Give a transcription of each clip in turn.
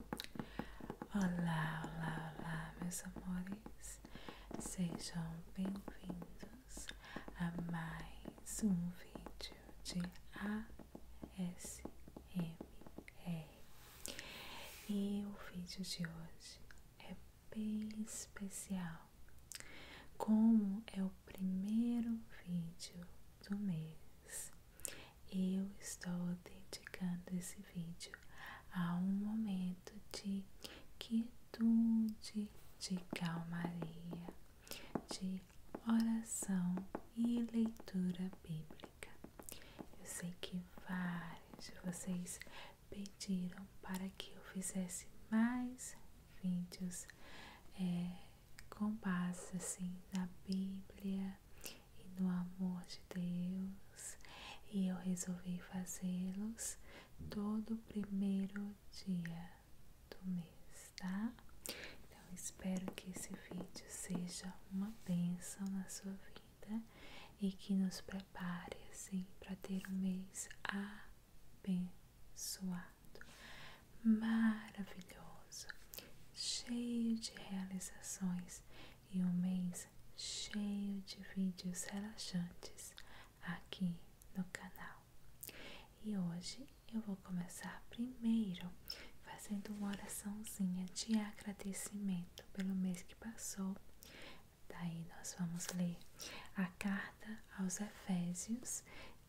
Olá, olá, olá, meus amores. Sejam bem-vindos a mais um vídeo de ASMR. E o vídeo de hoje é bem especial. Como é o primeiro vídeo do mês, eu estou dedicando esse vídeo a um momento de quietude, de calmaria, de oração e leitura bíblica. Eu sei que vários de vocês pediram para que eu fizesse mais vídeos eh, com base assim na Bíblia e no amor de Deus, e eu resolvi fazê-los todo primeiro dia do mês, tá? Então espero que esse vídeo seja uma bênção na sua vida e que nos prepare assim para ter um mês abençoado, maravilhoso cheio de realizações e um mês cheio de vídeos relaxantes aqui no canal. E hoje eu vou começar primeiro fazendo uma oraçãozinha de agradecimento pelo mês que passou. Daí nós vamos ler a carta aos Efésios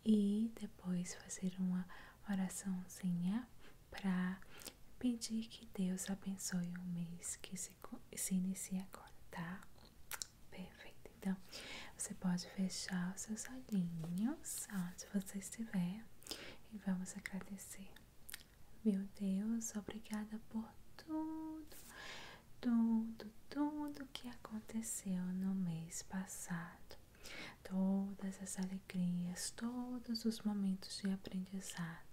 e depois fazer uma oraçãozinha para pedir que Deus abençoe o mês que se, se inicia agora, tá? Perfeito. Então, você pode fechar os seus olhinhos onde você estiver e vamos agradecer. Meu Deus, obrigada por tudo, tudo, tudo que aconteceu no mês passado. Todas as alegrias, todos os momentos de aprendizado,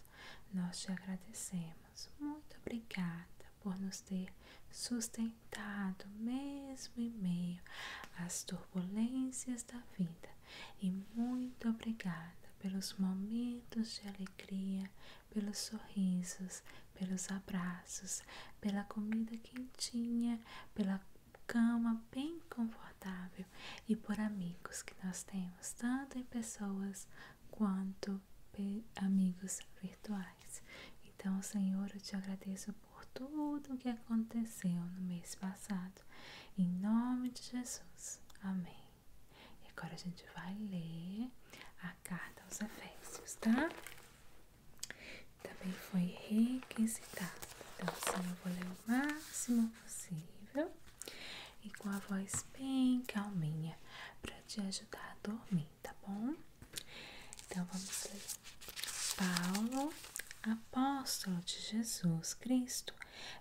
nós te agradecemos. Muito obrigada por nos ter sustentado, mesmo em meio às turbulências da vida. E muito obrigada pelos momentos de alegria, pelos sorrisos, pelos abraços, pela comida quentinha, pela cama bem confortável e por amigos que nós temos, tanto em pessoas quanto amigos virtuais. Então, Senhor, eu te agradeço por tudo o que aconteceu no mês passado. Em nome de Jesus. Amém. E agora a gente vai ler a carta aos Efésios, tá? Também foi requisitada então, assim eu vou ler o máximo possível e com a voz bem calminha para te ajudar a dormir, tá bom? Então, vamos ler. Paulo, apóstolo de Jesus Cristo,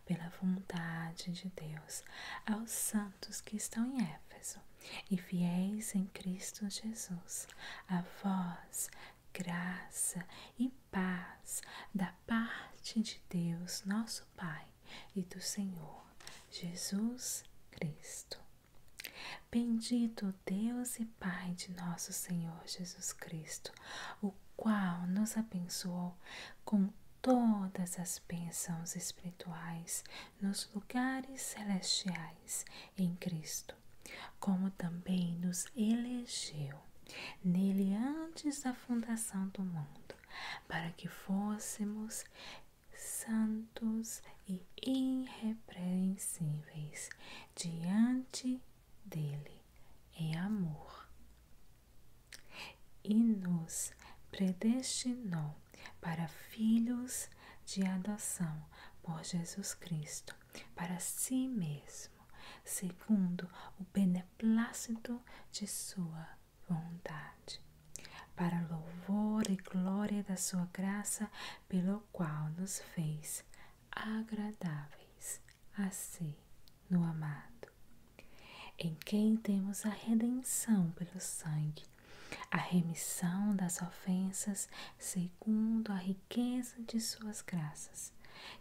pela vontade de Deus, aos santos que estão em Éfeso e fiéis em Cristo Jesus, a vós graça e paz da parte de Deus, nosso Pai, e do Senhor Jesus Cristo. Bendito Deus e Pai de nosso Senhor Jesus Cristo, o qual nos abençoou com todas as bênçãos espirituais nos lugares celestiais em Cristo, como também nos elegeu nele antes da fundação do mundo, para que fôssemos santos e irrepreensíveis diante dele em amor. E nos predestinou para filhos de adoção por Jesus Cristo para si mesmo, segundo o beneplácito de sua vontade, para louvor e glória da sua graça, pelo qual nos fez agradáveis a si no amado, em quem temos a redenção pelo sangue, a remissão das ofensas, segundo a riqueza de suas graças,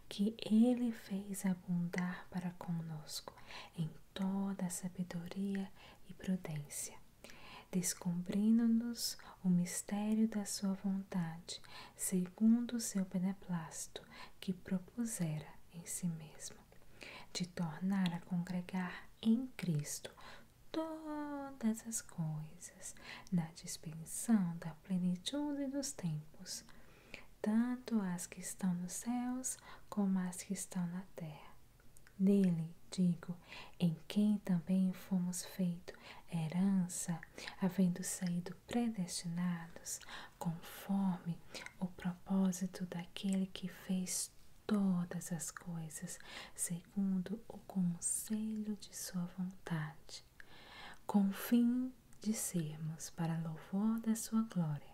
que ele fez abundar para conosco em toda a sabedoria e prudência, descobrindo-nos o mistério da sua vontade, segundo o seu beneplácito que propusera em si mesmo, de tornar a congregar em Cristo todas as coisas na dispensação da da plenitude dos tempos, tanto as que estão nos céus como as que estão na terra. Nele digo, em quem também fomos feito herança, havendo saído predestinados, conforme o propósito daquele que fez todas as coisas, segundo o conselho de sua vontade com fim de sermos para louvor da sua glória,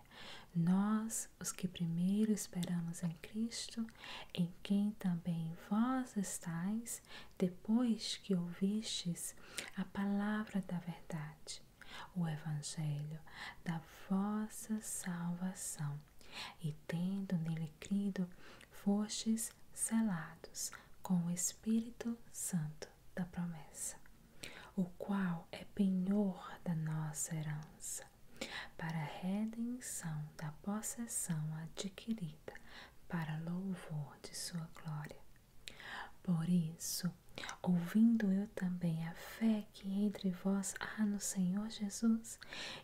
nós, os que primeiro esperamos em Cristo, em quem também vós estáis, depois que ouvistes a palavra da verdade, o Evangelho da vossa salvação, e tendo nele crido, fostes selados com o Espírito Santo da promessa, o qual é penhor da nossa herança, para redenção da possessão adquirida, para louvor de sua glória. Por isso, ouvindo eu também a fé que entre vós há no Senhor Jesus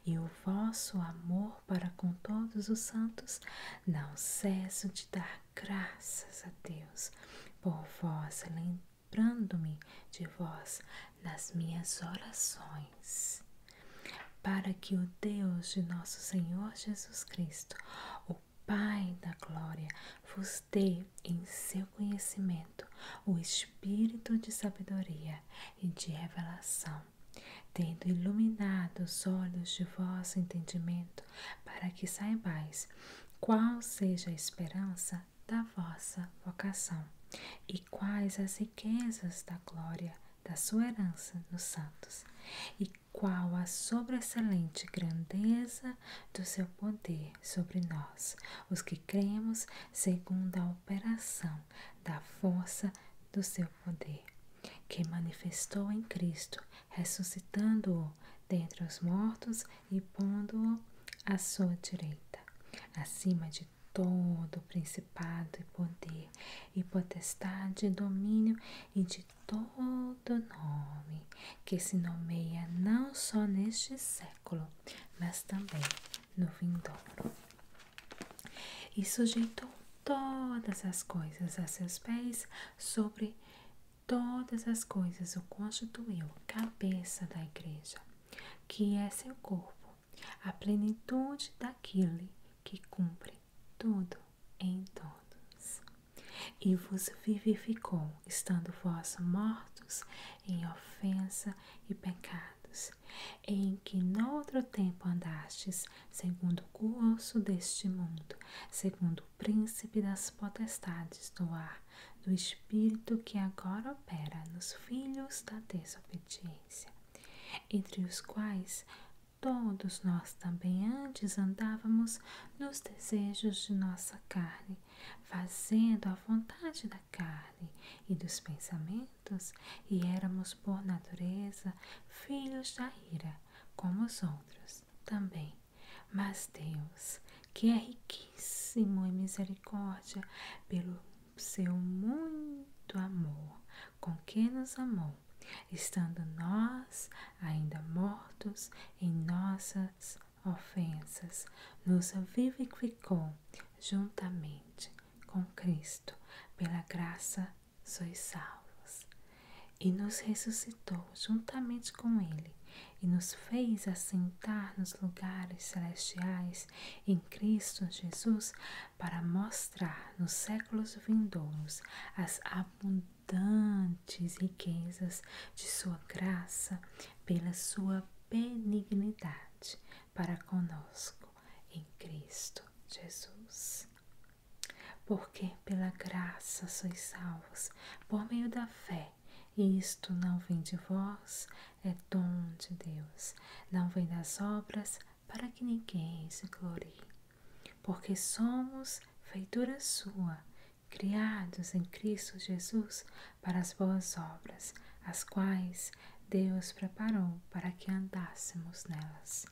e o vosso amor para com todos os santos, não cesso de dar graças a Deus por vós, lembrando-me de vós nas minhas orações, para que o Deus de nosso Senhor Jesus Cristo, o Pai da Glória, vos dê em seu conhecimento o espírito de sabedoria e de revelação tendo iluminado os olhos de vosso entendimento, para que saibais qual seja a esperança da vossa vocação e quais as riquezas da glória da sua herança nos santos, e qual a sobressalente grandeza do seu poder sobre nós, os que cremos, segundo a operação da força do seu poder, que manifestou em Cristo, ressuscitando-o dentre os mortos e pondo-o à sua direita, acima de todo principado e poder e potestade e domínio e de todo nome que se nomeia não só neste século, mas também no vindouro e sujeitou todas as coisas a seus pés, sobre todas as coisas o constituiu cabeça da igreja, que é seu corpo, a plenitude daquele que cumpre tudo em todos. E vos vivificou, estando vós mortos em ofensa e pecados, em que noutro tempo andastes segundo o curso deste mundo, segundo o príncipe das potestades do ar, do espírito que agora opera nos filhos da desobediência, entre os quais todos nós também antes andávamos nos desejos de nossa carne, fazendo a vontade da carne e dos pensamentos e éramos por natureza filhos da ira, como os outros também. Mas Deus, que é riquíssimo em misericórdia, pelo seu muito amor, com que nos amou, estando nós ainda mortos em nossas ofensas, nos vivificou juntamente com Cristo. Pela graça sois salvos. E nos ressuscitou juntamente com Ele, e nos fez assentar nos lugares celestiais em Cristo Jesus, para mostrar nos séculos vindouros as abundantes riquezas de Sua graça pela Sua benignidade para conosco em Cristo Jesus. Porque pela graça sois salvos, por meio da fé, e isto não vem de vós, é dom de Deus, não vem das obras, para que ninguém se glorie. Porque somos feitura sua, criados em Cristo Jesus para as boas obras, as quais Deus preparou para que andássemos nelas.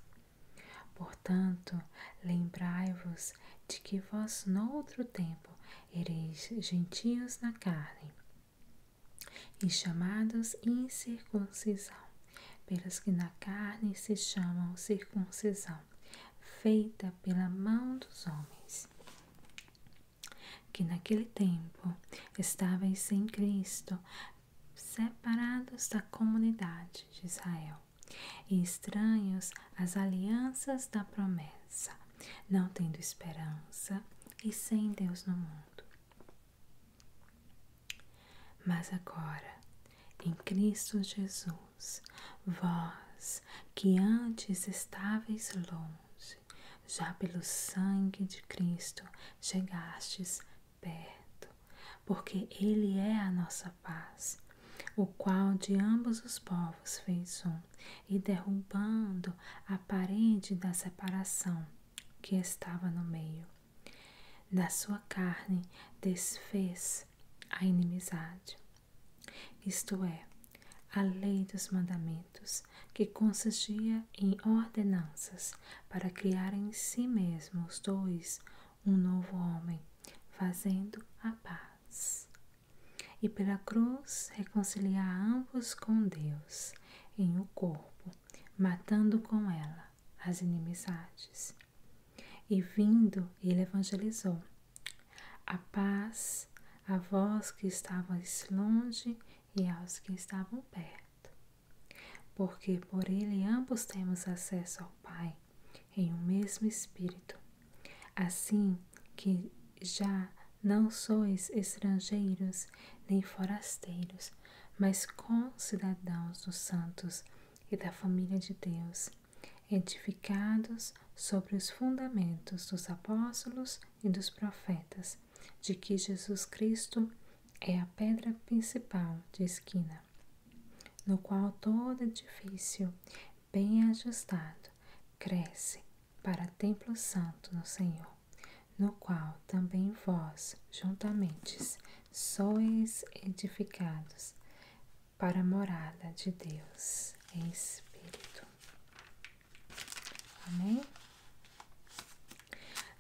Portanto, lembrai-vos de que vós noutro tempo ereis gentios na carne, e chamados incircuncisão, pelos que na carne se chamam circuncisão, feita pela mão dos homens. Que naquele tempo estáveis sem Cristo, separados da comunidade de Israel e estranhos às alianças da promessa, não tendo esperança e sem Deus no mundo. Mas agora, em Cristo Jesus, vós que antes estáveis longe, já pelo sangue de Cristo chegastes perto, porque Ele é a nossa paz, o qual de ambos os povos fez um, e derrubando a parede da separação que estava no meio. Da sua carne desfez a inimizade, isto é, a lei dos mandamentos, que consistia em ordenanças para criar em si mesmos dois um novo homem, fazendo a paz. E pela cruz reconciliar ambos com Deus em o corpo, matando com ela as inimizades. E vindo, ele evangelizou. A paz a vós que estavais longe e aos que estavam perto, porque por ele ambos temos acesso ao Pai em um mesmo Espírito. Assim que já não sois estrangeiros nem forasteiros, mas cidadãos dos santos e da família de Deus, edificados sobre os fundamentos dos apóstolos e dos profetas, de que Jesus Cristo é a pedra principal de esquina, no qual todo edifício bem ajustado cresce para templo santo no Senhor, no qual também vós juntamente sois edificados para a morada de Deus em espírito. Amém?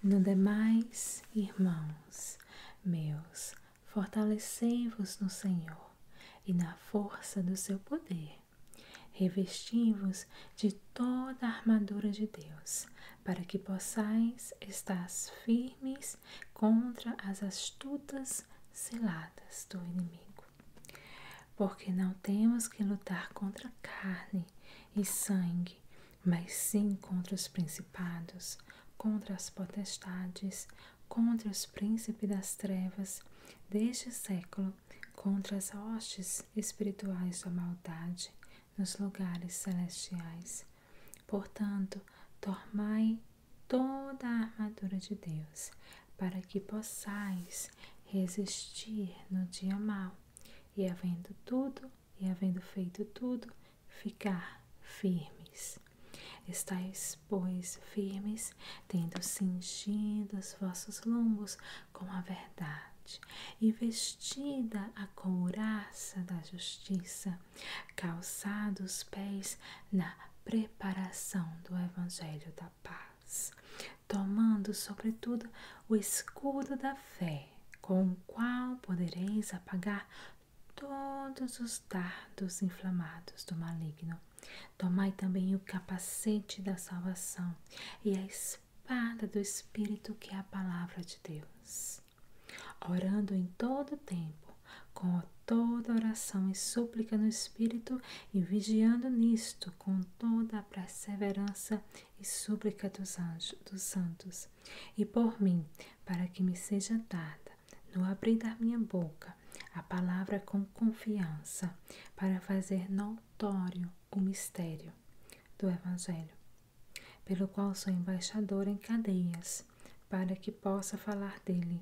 No demais, irmãos meus, fortalecei-vos no Senhor e na força do seu poder. Revesti-vos de toda a armadura de Deus, para que possais estar firmes contra as astutas ciladas do inimigo. Porque não temos que lutar contra carne e sangue, mas sim contra os principados, contra as potestades, contra os príncipes das trevas deste século, contra as hostes espirituais da maldade nos lugares celestiais. Portanto, tomai toda a armadura de Deus, para que possais resistir no dia mau e havendo tudo, e havendo feito tudo, ficar firmes. Estais, pois, firmes, tendo cingido os vossos lombos com a verdade, e vestida a couraça da justiça, calçados os pés na preparação do Evangelho da Paz tomando sobretudo o escudo da fé, com o qual podereis apagar todos os dardos inflamados do maligno. Tomai também o capacete da salvação e a espada do Espírito, que é a palavra de Deus, orando em todo tempo, com toda oração e súplica no Espírito, e vigiando nisto com toda a perseverança e súplica dos anjos, dos santos, e por mim, para que me seja dada, no abrir da minha boca, a palavra com confiança, para fazer notório o mistério do Evangelho, pelo qual sou embaixador em cadeias, para que possa falar dele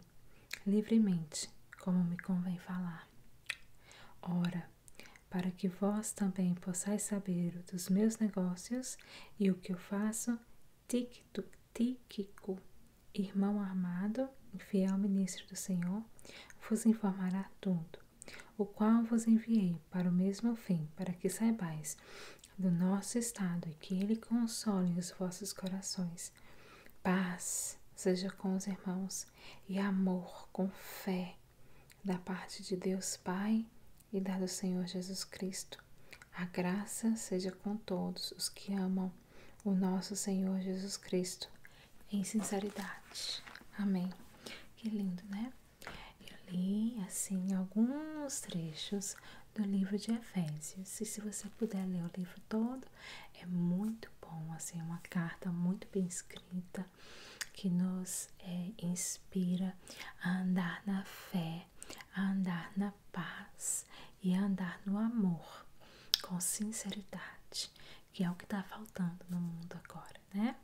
livremente, como me convém falar. Ora, para que vós também possais saber dos meus negócios e o que eu faço, Tíquico, Tíquico, irmão armado, fiel ministro do Senhor, vos informará tudo, o qual vos enviei para o mesmo fim, para que saibais do nosso estado e que ele console os vossos corações. Paz seja com os irmãos e amor com fé da parte de Deus Pai e da do Senhor Jesus Cristo. A graça seja com todos os que amam o nosso Senhor Jesus Cristo em sinceridade. Amém. Que lindo, né? Eu li assim alguns trechos do livro de Efésios. E se você puder ler o livro todo, é muito bom, assim, uma carta muito bem escrita que nos é, inspira a andar na fé, a andar na paz e a andar no amor com sinceridade, que é o que está faltando no mundo agora, né?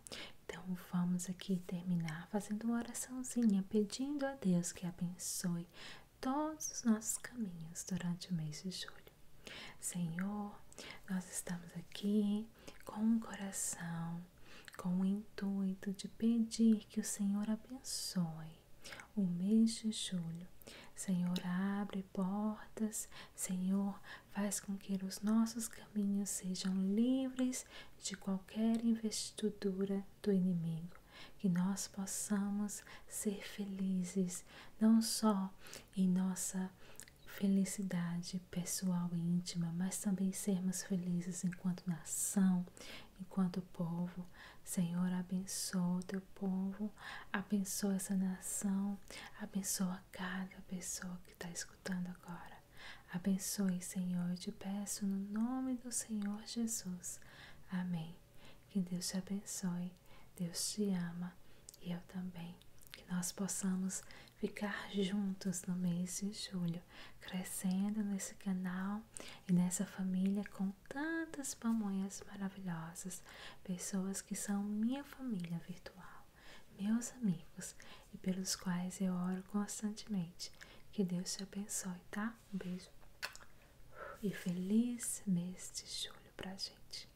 Então vamos aqui terminar fazendo uma oraçãozinha, pedindo a Deus que abençoe todos os nossos caminhos durante o mês de julho. Senhor, nós estamos aqui com o coração, com o intuito de pedir que o Senhor abençoe o mês de julho. Senhor, abre portas, Senhor, faz com que os nossos caminhos sejam livres de qualquer investidura do inimigo que nós possamos ser felizes, não só em nossa felicidade pessoal e íntima, mas também sermos felizes enquanto nação, enquanto povo. Senhor, abençoa o teu povo, abençoa essa nação, abençoa cada pessoa que está escutando agora. Abençoe, Senhor, eu te peço no nome do Senhor Jesus. Amém. Que Deus te abençoe, Deus te ama e eu também, que nós possamos ficar juntos no mês de julho, crescendo nesse canal e nessa família com tantas pamonhas maravilhosas, pessoas que são minha família virtual, meus amigos e pelos quais eu oro constantemente. Que Deus te abençoe, tá? Um beijo e feliz mês de julho para a gente.